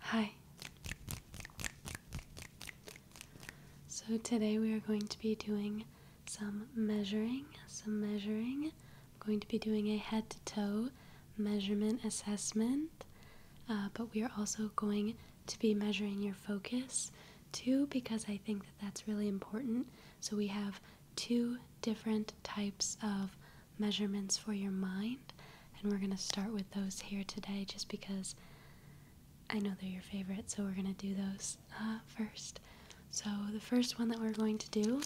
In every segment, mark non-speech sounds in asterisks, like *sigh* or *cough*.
Hi. So today we are going to be doing some measuring, some measuring. I'm going to be doing a head to toe measurement assessment, uh, but we are also going to be measuring your focus too because I think that that's really important so we have two different types of measurements for your mind, and we're going to start with those here today just because I know they're your favorite, so we're going to do those uh, first. So the first one that we're going to do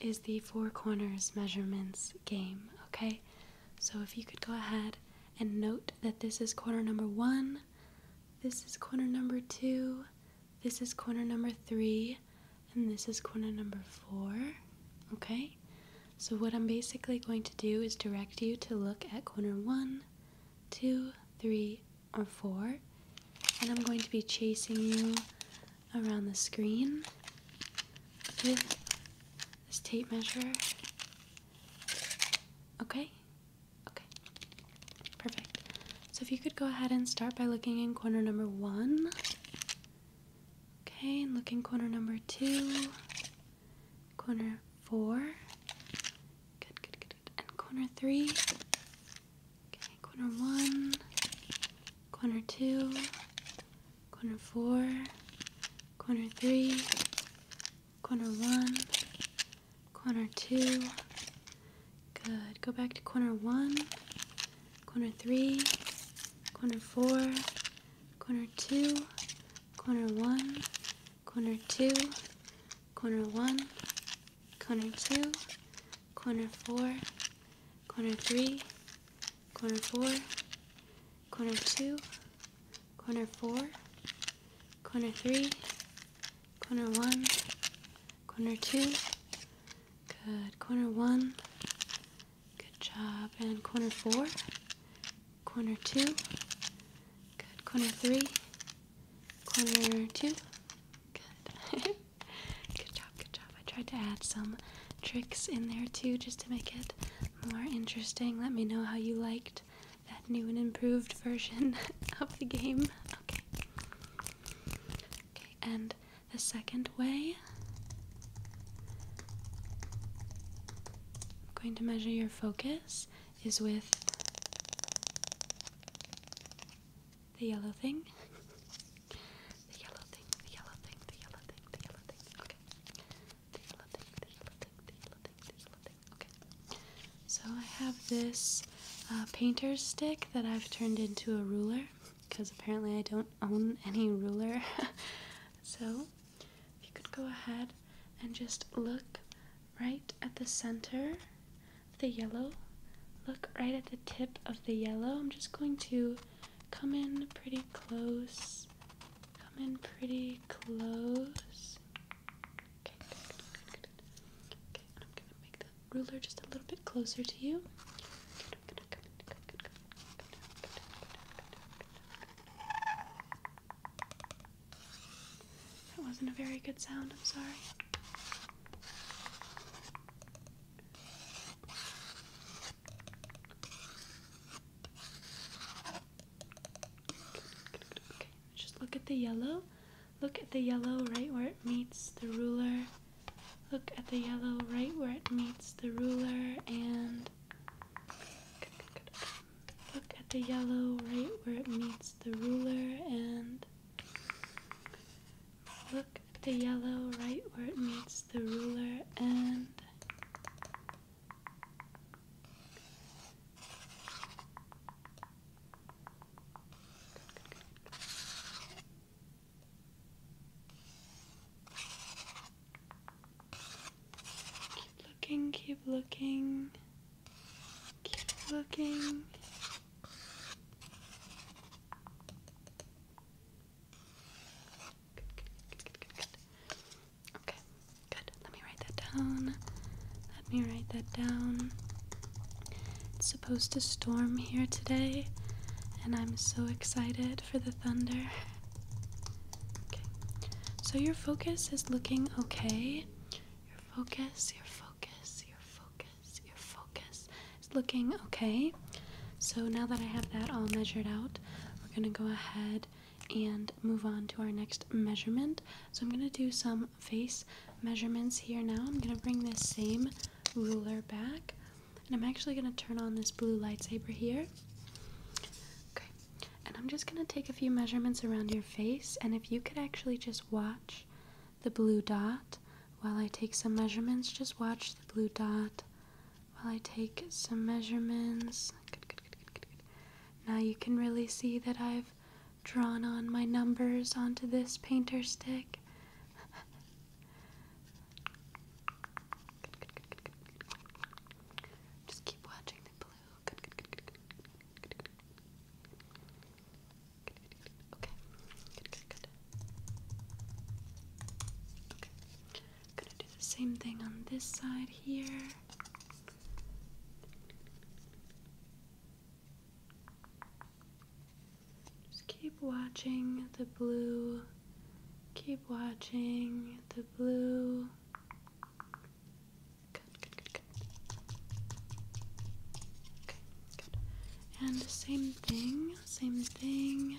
is the four corners measurements game, okay? So if you could go ahead and note that this is corner number one, this is corner number two, this is corner number three, and this is corner number four, okay? So what I'm basically going to do is direct you to look at corner one, two, three, or four, and I'm going to be chasing you around the screen this tape measure. Okay? Okay. Perfect. So if you could go ahead and start by looking in corner number one. Okay, and look corner number two. Corner four. Good, good, good, good. And corner three. Okay, corner one. Corner two corner four, corner three, corner one, corner two. Good. Go back to corner one, corner three, corner four, corner two, corner one, corner two, corner one, corner two, corner four, corner three, corner four, corner two, corner four, corner three, corner one, corner two, good, corner one, good job, and corner four, corner two, good, corner three, corner two, good. *laughs* good job, good job. I tried to add some tricks in there too, just to make it more interesting. Let me know how you liked that new and improved version *laughs* of the game. Okay. Okay, and the second way. going to measure your focus is with *laughs* the yellow thing. the yellow thing, the yellow thing, the yellow thing, the yellow thing. Okay. So I have this uh, painter's stick that I've turned into a ruler because apparently I don't own any ruler. *laughs* so if you could go ahead and just look right at the center of the yellow. Look right at the tip of the yellow. I'm just going to come in pretty close come in pretty close. Okay, I'm gonna make the ruler just a little bit closer to you. That wasn't a very good sound, I'm sorry just look at the yellow. Look at the yellow right where it meets the ruler. Look at the yellow right where it meets the ruler and look at the yellow right where it meets the ruler and look at the yellow right where it meets the ruler and Keep looking, keep looking, keep looking. Okay, good. Let me write that down. Let me write that down. It's supposed to storm here today, and I'm so excited for the thunder. Okay, so your focus is looking okay. Your focus, your focus, your focus, your focus is looking okay so now that I have that all measured out, we're going to go ahead and move on to our next measurement. So I'm going to do some face measurements here now. I'm going to bring this same ruler back, and I'm actually going to turn on this blue lightsaber here. Okay, and I'm just going to take a few measurements around your face, and if you could actually just watch the blue dot while I take some measurements, just watch the blue dot while I take some measurements. Good, good, good, good, good, Now you can really see that I've drawn on my numbers onto this painter stick. Just keep watching the blue. Okay. I'm gonna do the same thing on this side here. Just keep watching the blue. Keep watching the blue. Good, good, good, good. Okay, good. And same thing, same thing.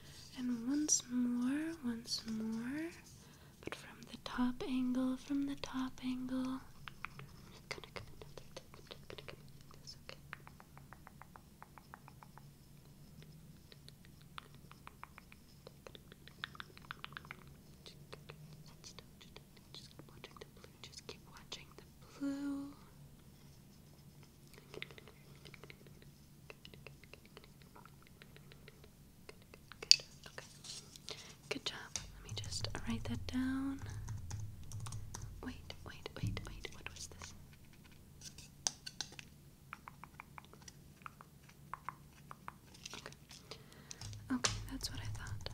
And once more, once more, but from the top angle, from the top angle. Gonna come in like this. I'm just gonna come okay? Just keep watching the blue. Good. job. Let me just write that down. Wait, wait, wait, wait. What was this? Okay. Okay, that's what I thought.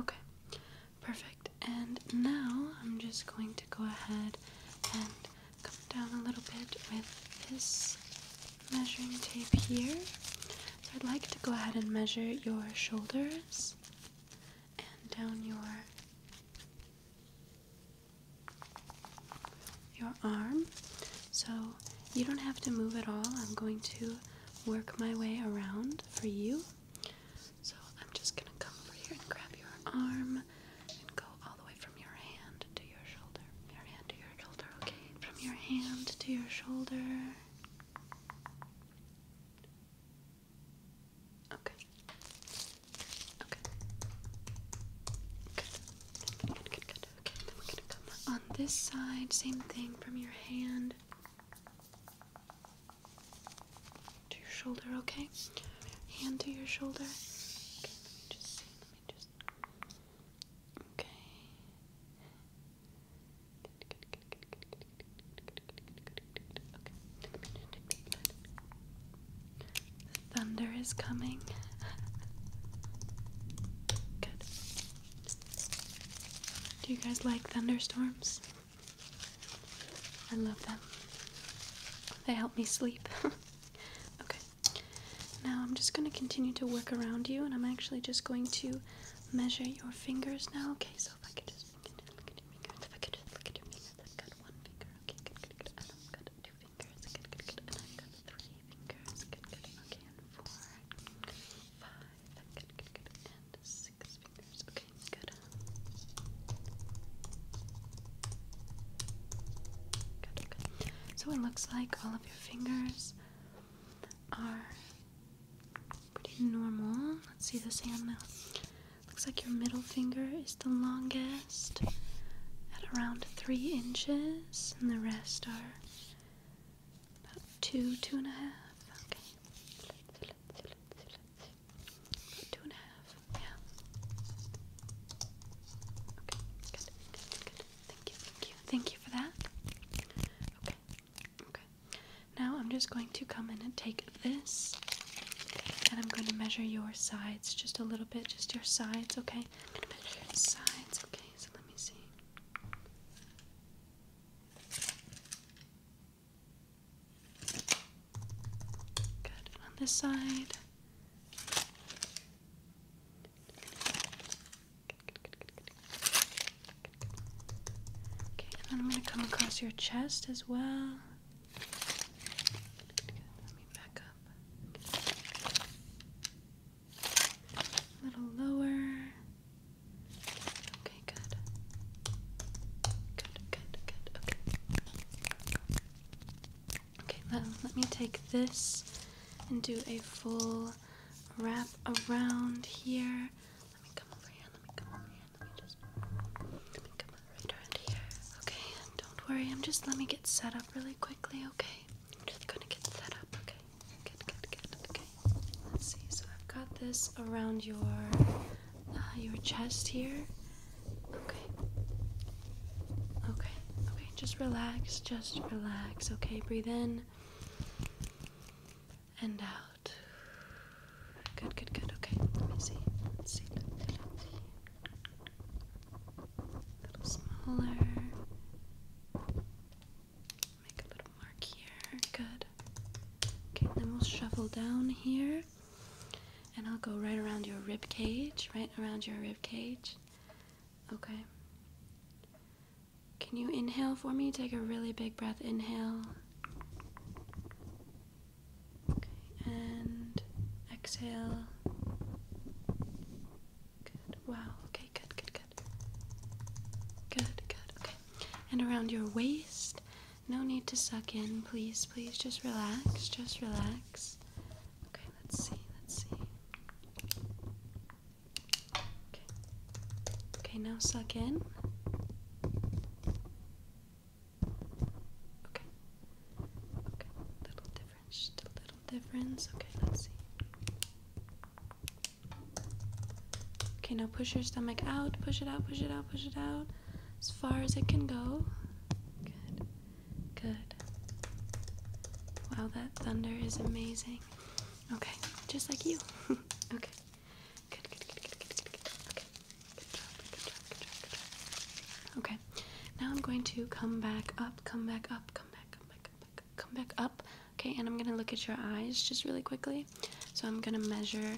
Okay. Perfect. And now I'm just going to go ahead and come down a little bit with this measuring tape here. So I'd like to go ahead and measure your shoulders and down your your arm. So you don't have to move at all. I'm going to work my way around for you. So I'm just gonna come over here and grab your arm and go all the way from your hand to your shoulder. Your hand to your shoulder, okay? From your hand to your shoulder. Okay. Okay. Good. Good, Okay, then we're gonna come on this side, same thing from your hand to your shoulder, okay? Hand to your shoulder. Okay, thunder is coming. Good. Do you guys like thunderstorms? I love them. They help me sleep. *laughs* okay. Now I'm just going to continue to work around you, and I'm actually just going to measure your fingers now. Okay, so if I could just look at your fingers, if I could look at your fingers, I've got one finger. Okay, good, good, And I've got two fingers. Good, good, And I've got three fingers. Good, good. Okay, four, five. Good, good, good. And six. So it looks like all of your fingers are pretty normal. Let's see this hand now. Looks like your middle finger is the longest at around three inches, and the rest are about two, two and a half two and a half. Yeah. Okay. Good. Good. Thank you. Thank you. Thank you for that. Okay. Okay. Now I'm just going to come in and take this, and I'm going to measure your sides just a little bit, just your sides, okay? your sides, okay? So let me see. Good. on this side. Okay, I'm going to come across your chest as well. Let me back up. A little lower. Okay, good. Good, good, good. Okay. Okay, let me take this and do a full wrap around here. Let me come over here. Let me come over here. Let me just let me come right around here. Okay, don't worry. I'm just let me get set up really quickly. Okay, I'm just gonna get set up. Okay, good, good, good. Okay, Let's see. So I've got this around your uh, your chest here. Okay. Okay. Okay. Just relax. Just relax. Okay. Breathe in and out. Good. Good. Good. Okay. Let me see. Let's see. A little smaller. Make a little mark here. Good. Okay, then we'll shuffle down here. And I'll go right around your rib cage, right around your rib cage. Okay. Can you inhale for me? Take a really big breath. Inhale. Okay, and exhale. Good. Wow. Okay, good, good, good. Good, good. Okay. And around your waist no need to suck in, please, please just relax, just relax. Okay, let's see, let's see. Okay. Okay, now suck in. Okay. Okay, little difference, just a little difference. Okay, let's see. Okay, now push your stomach out, push it out, push it out, push it out as far as it can go. Good, good. Wow, that thunder is amazing. Okay, just like you. *laughs* okay. Good, good, good, good, good, good, good. Okay. Good job, good job, good job, good job. Okay. Now I'm going to come back up, come back up, come back, come back, come come back up. Okay, and I'm gonna look at your eyes just really quickly. So I'm gonna measure.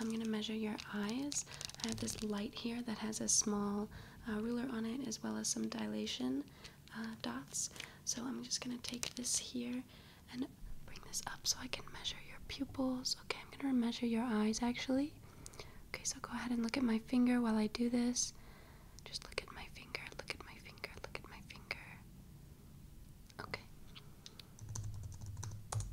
I'm gonna measure your eyes. I have this light here that has a small uh, ruler on it, as well as some dilation uh, dots. So I'm just gonna take this here and bring this up so I can measure your pupils. Okay, I'm gonna measure your eyes actually. Okay, so go ahead and look at my finger while I do this. Just look at my finger, look at my finger, look at my finger. Okay,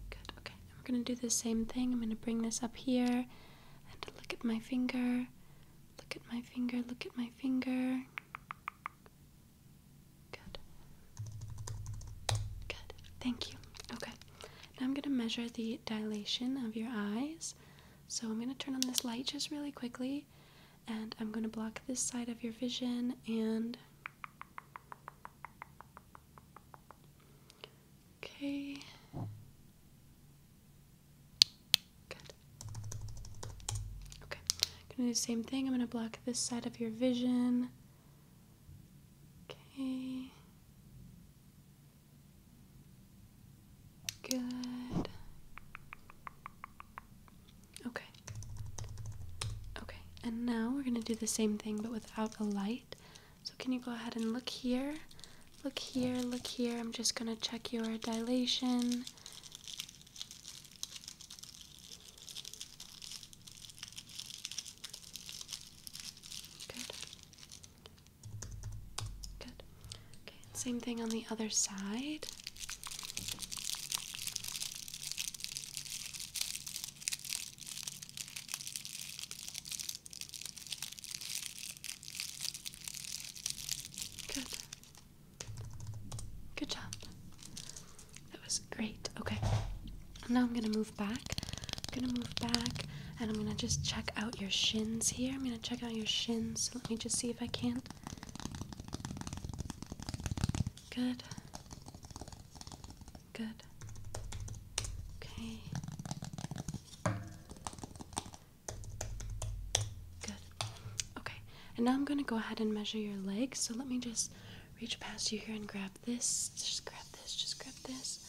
Good, okay. Now we gonna do the same thing. I'm gonna bring this up here and look at my finger. Look at my finger, look at my finger. Good. Good. Thank you. Okay. Now I'm gonna measure the dilation of your eyes. So I'm gonna turn on this light just really quickly and I'm gonna block this side of your vision and Okay. Good. Okay. I'm gonna do the same thing. I'm gonna block this side of your vision. Okay. Good. Okay. Okay, and now we're gonna do the same thing but without a light. So, can you go ahead and look here? Look here, look here. I'm just gonna check your dilation. Good. Good. Okay, same thing on the other side. Good. Good job. That was great. Okay. Now I'm going to move back. I'm going to move back and I'm going to just check out your shins here. I'm going to check out your shins. So let me just see if I can't. Good. Good. Okay. Good. Okay. And now I'm going to go ahead and measure your legs. So let me just reach past you here and grab this. Just grab this. Just grab this.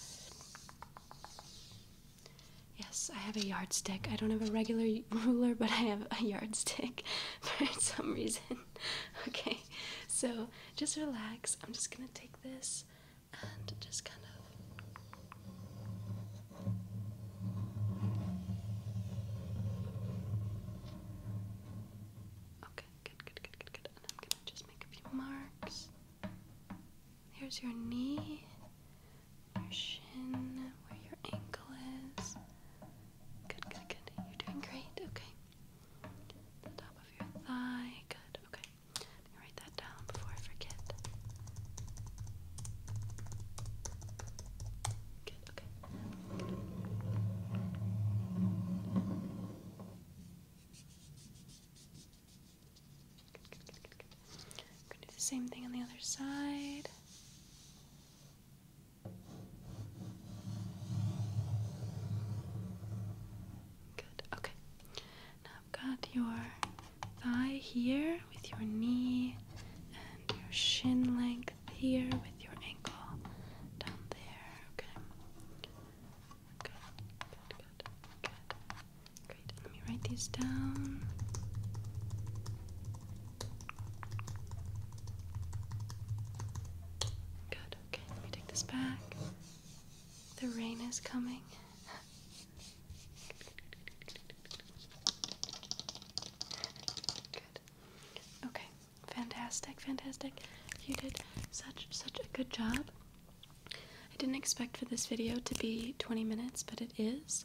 Yes, I have a yardstick. I don't have a regular *laughs* ruler, but I have a yardstick *laughs* for some reason. *laughs* okay, so just relax. I'm just gonna take this and just kind of. Okay, good, good, good, good, good. And I'm gonna just make a few marks. Here's your knee, your shin, where your ankle is. Good, good, good. You're doing great. Okay. The top of your thigh. Good. Okay. write that down before I forget. Good. Okay. Good. Good, good, good, gonna do the same thing on the other side. Good. Okay. Now I've got your thigh here with your knee and your shin length here with your ankle down there. Okay. Good. Good. Good. Good. Great. Let me write these down. Good, okay, let me take this back. The rain is coming. Good. Okay, fantastic, fantastic. You did such such a good job. I didn't expect for this video to be 20 minutes, but it is.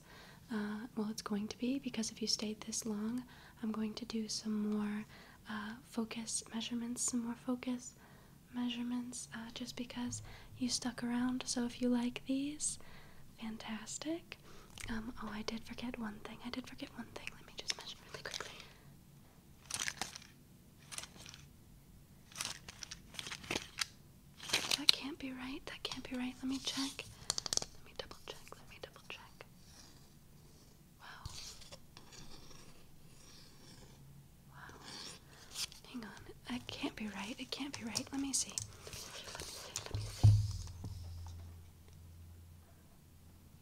Uh, well, it's going to be because if you stayed this long, I'm going to do some more uh, focus measurements, some more focus measurements, uh, just because you stuck around. So if you like these, fantastic. Um, oh, I did forget one thing. I did forget one thing. Let me just measure really quickly. That can't be right. That can't be right. Let me check. Let me double check. Let me double check. Wow. Wow. Hang on. That can't be right. It can't be right. Let me see. Let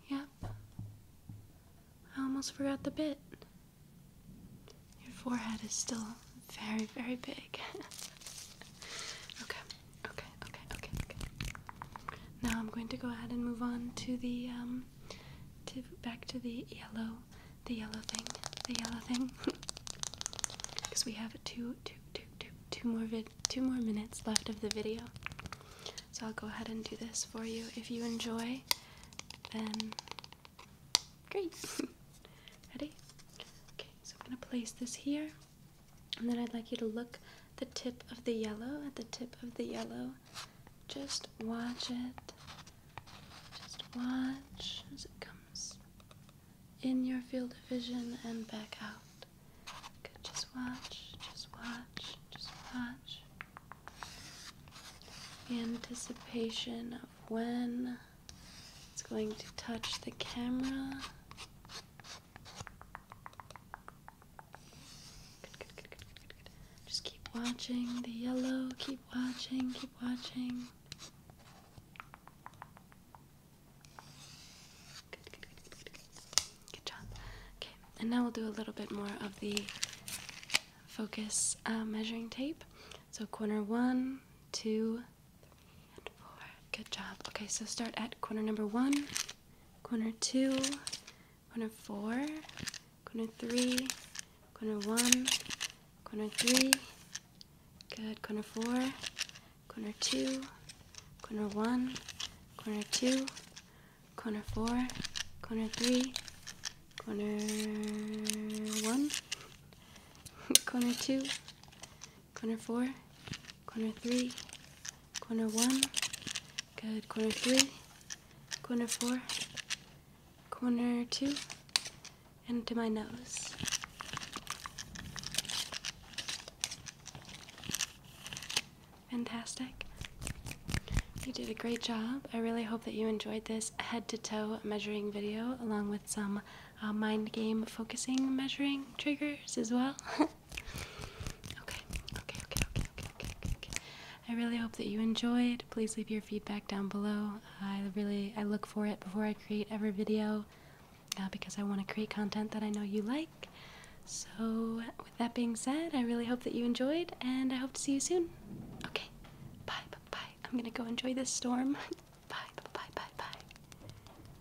Yep. I almost forgot the bit. Your forehead is still very, very big. *laughs* okay. Okay, okay, okay, okay. Now I'm going to go ahead and move on to the um to back to the yellow, the yellow thing, the yellow thing. Because *laughs* we have two, two, two, two, two more vid, two more minutes left of the video. So I'll go ahead and do this for you. If you enjoy, then great. *laughs* Ready? Okay, so I'm gonna place this here. And then I'd like you to look the tip of the yellow at the tip of the yellow. Just watch it. Just watch as it comes in your field of vision and back out. Just watch. Just watch. Just watch. anticipation of when it's going to touch the camera. Just keep watching the yellow, keep watching, keep watching. Good, job. Okay, and now we'll do a little bit more of the focus uh, measuring tape. So, corner one, two, four. Good job. Okay, so start at corner number one, corner two, corner four, corner three, corner one, corner three. Good. Corner four, corner two, corner one, corner two, corner four, corner three, corner one, *laughs* corner two corner four, corner three, corner one, good, corner three, corner four, corner two, and to my nose. Fantastic. You did a great job. I really hope that you enjoyed this head to toe measuring video along with some uh, mind game focusing measuring triggers as well. *laughs* Okay, okay, okay, okay, okay, okay, okay, I really hope that you enjoyed. Please leave your feedback down below. I really I look for it before I create every video uh, because I want to create content that I know you like. So, with that being said, I really hope that you enjoyed and I hope to see you soon. Okay. Bye. Bye. bye. I'm going to go enjoy this storm. *laughs* bye. Bye. Bye. Bye. bye.